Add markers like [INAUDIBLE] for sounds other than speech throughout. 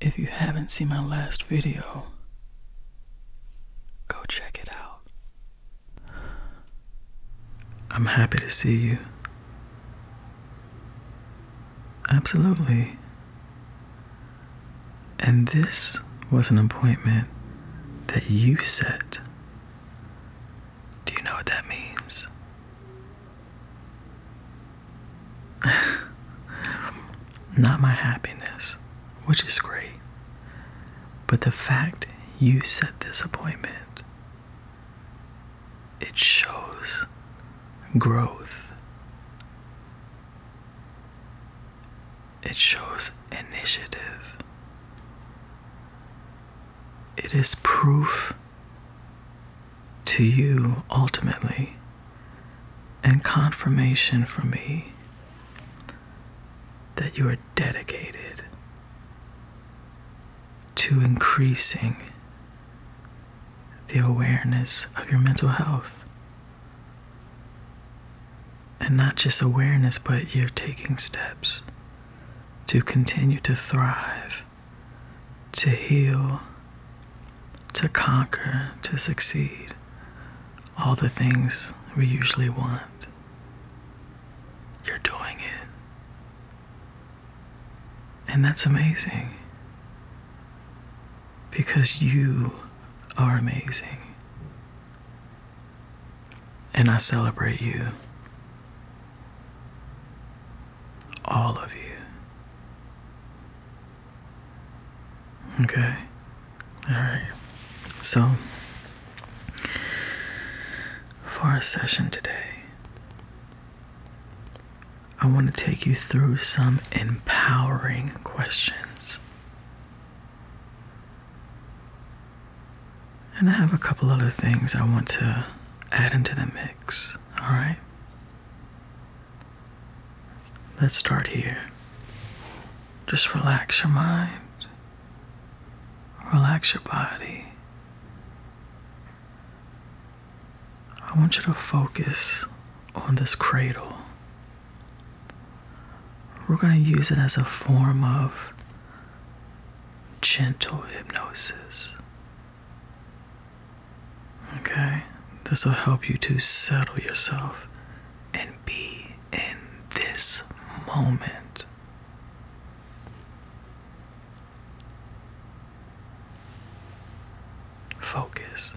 If you haven't seen my last video, go check it out. I'm happy to see you. Absolutely. And this was an appointment that you said. Do you know what that means? [LAUGHS] Not my happiness, which is great, but the fact you set this appointment. It shows growth. It shows initiative. It is proof to you ultimately and confirmation for me that you are dedicated to increasing the awareness of your mental health and not just awareness, but you're taking steps to continue to thrive, to heal, to conquer, to succeed. All the things we usually want. You're doing it. And that's amazing. Because you are amazing. And I celebrate you. All of you. Okay? Alright. So, for our session today, I want to take you through some empowering questions and I have a couple other things I want to add into the mix, alright? Let's start here. Just relax your mind, relax your body. I want you to focus on this cradle. We're going to use it as a form of gentle hypnosis. Okay? This will help you to settle yourself and be in this moment. Focus.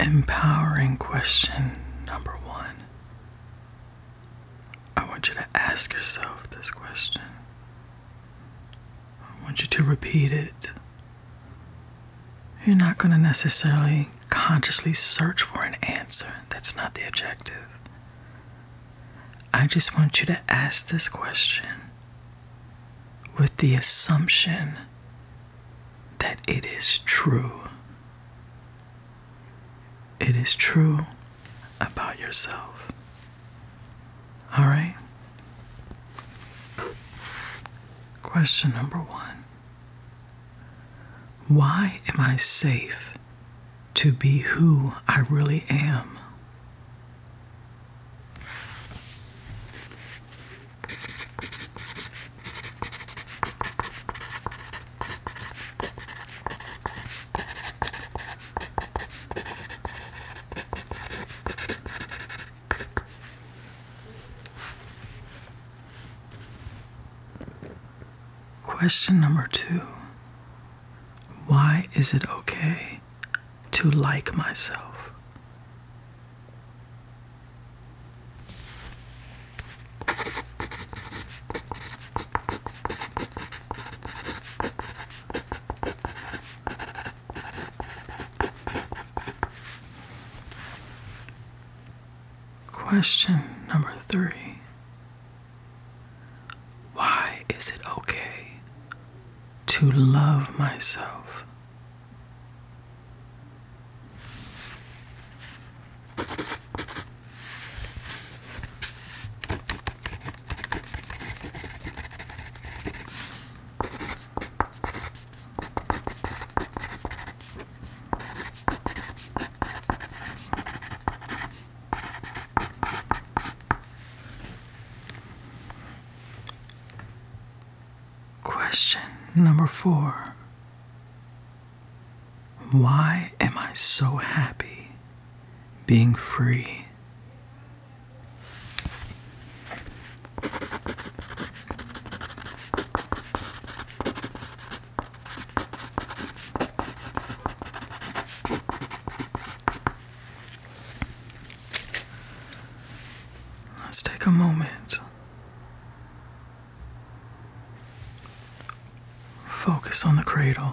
Empowering question number one. I want you to ask yourself this question. I want you to repeat it you're not going to necessarily consciously search for an answer. That's not the objective. I just want you to ask this question with the assumption that it is true. It is true about yourself. All right. Question number one Why am I safe to be who I really am? Question number two Why is it okay to like myself? Question number three Why is it okay to love myself? Question number four Why am I so happy being free? Let's take a moment. Focus on the cradle.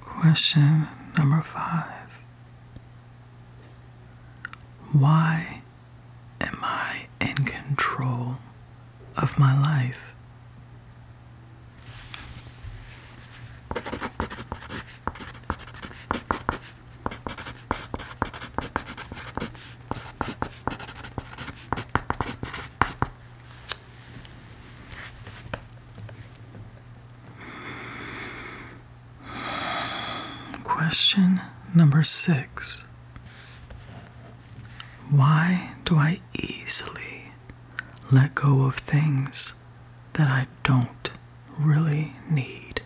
Question number five Why am I in control of my life? Question number six Why do I easily let go of things that I don't really need?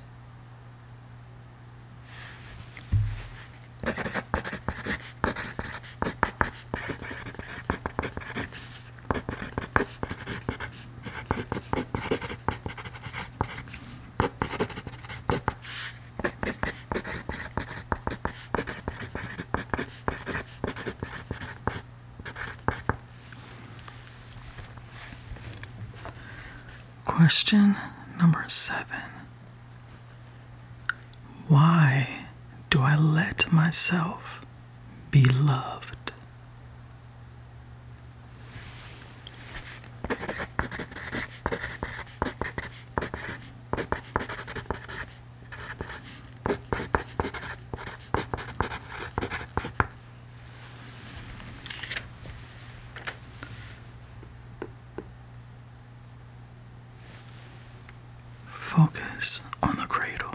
Question number seven Why do I let myself beloved. Focus on the cradle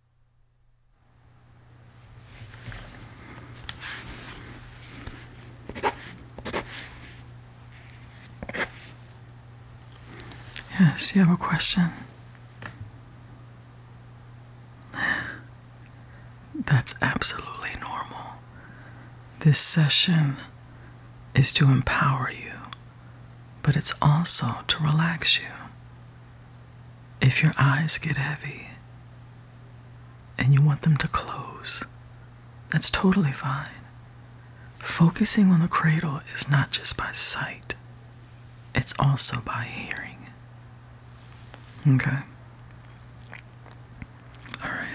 Yes, you have a question. That's absolutely normal. This session is to empower you, but it's also to relax you. If your eyes get heavy and you want them to close, that's totally fine. Focusing on the cradle is not just by sight, it's also by hearing. Okay? Alright.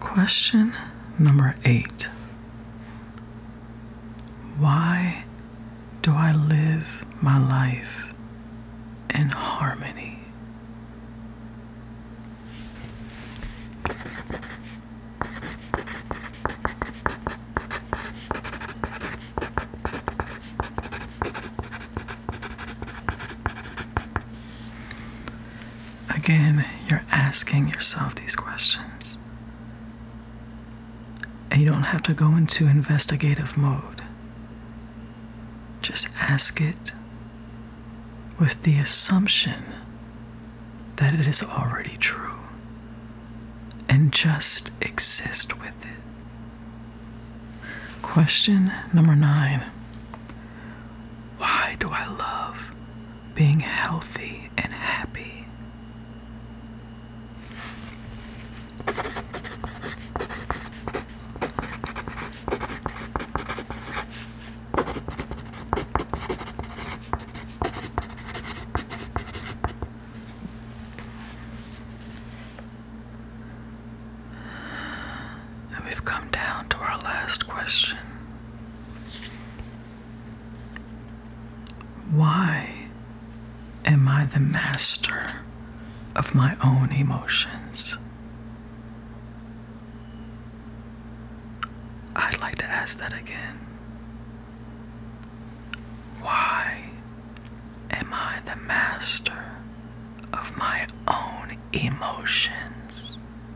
Question number eight Why do I live my life in harmony? Again, you're asking yourself these questions. And you don't have to go into investigative mode. Just ask it with the assumption that it is already true. And just exist with it. Question number nine why do I love being healthy and happy? And we've come down to our last question. Why am I the master of my own emotions? I'd like to ask that again. Why am I the master of my own emotions?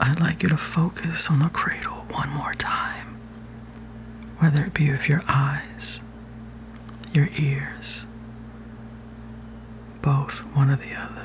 I'd like you to focus on the cradle one more time, whether it be with your eyes, your ears, both one or the other.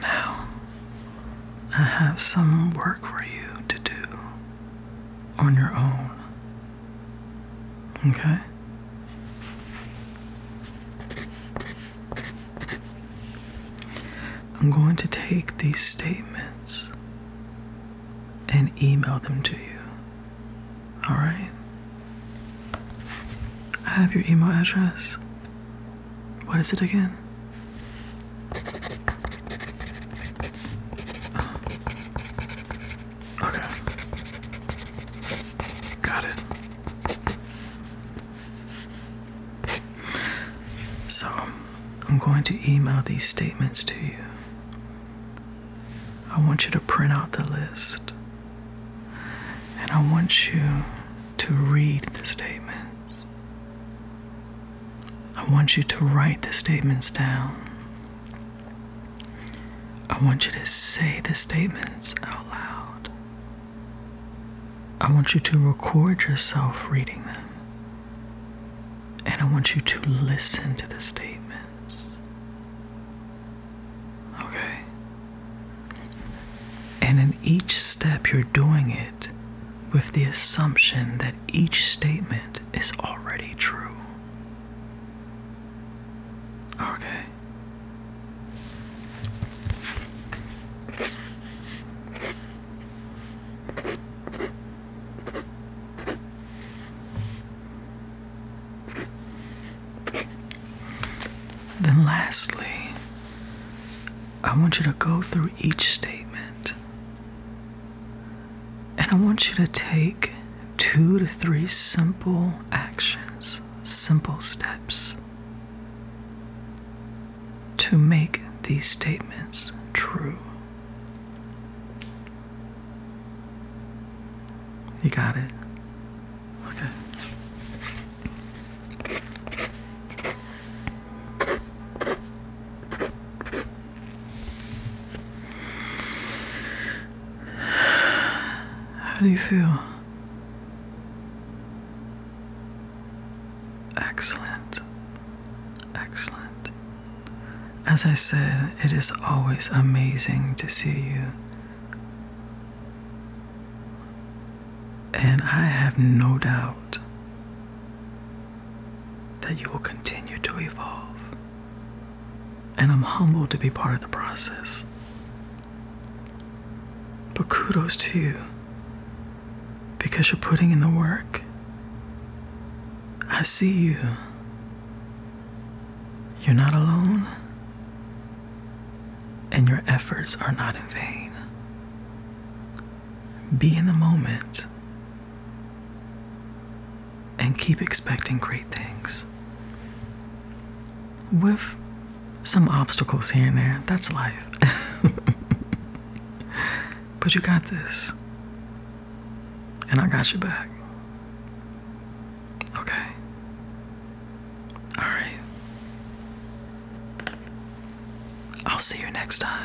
Now, I have some work for you to do on your own. Okay? I'm going to take these statements and email them to you. Alright? I have your email address. What is it again? Uh-huh. Okay. Got it. So, I'm going to email these statements to you. I want you to print out the list. And I want you to read the statements. I want you to write the statements down. I want you to say the statements out loud. I want you to record yourself reading them. And I want you to listen to the statements. Okay? And in each step, you're doing it with the assumption that each statement is already true. Okay. Then, lastly, I want you to go through each statement and I want you to take two to three simple actions, simple steps to make these statements true. You got it? Okay. How do you feel? Excellent. Excellent. As I said, it is always amazing to see you. And I have no doubt that you will continue to evolve. And I'm humbled to be part of the process. But kudos to you because you're putting in the work I see you. You're not alone, and your efforts are not in vain. Be in the moment and keep expecting great things. With some obstacles here and there, that's life. [LAUGHS] but you got this. And I got you back. Okay. Alright. I'll see you next time.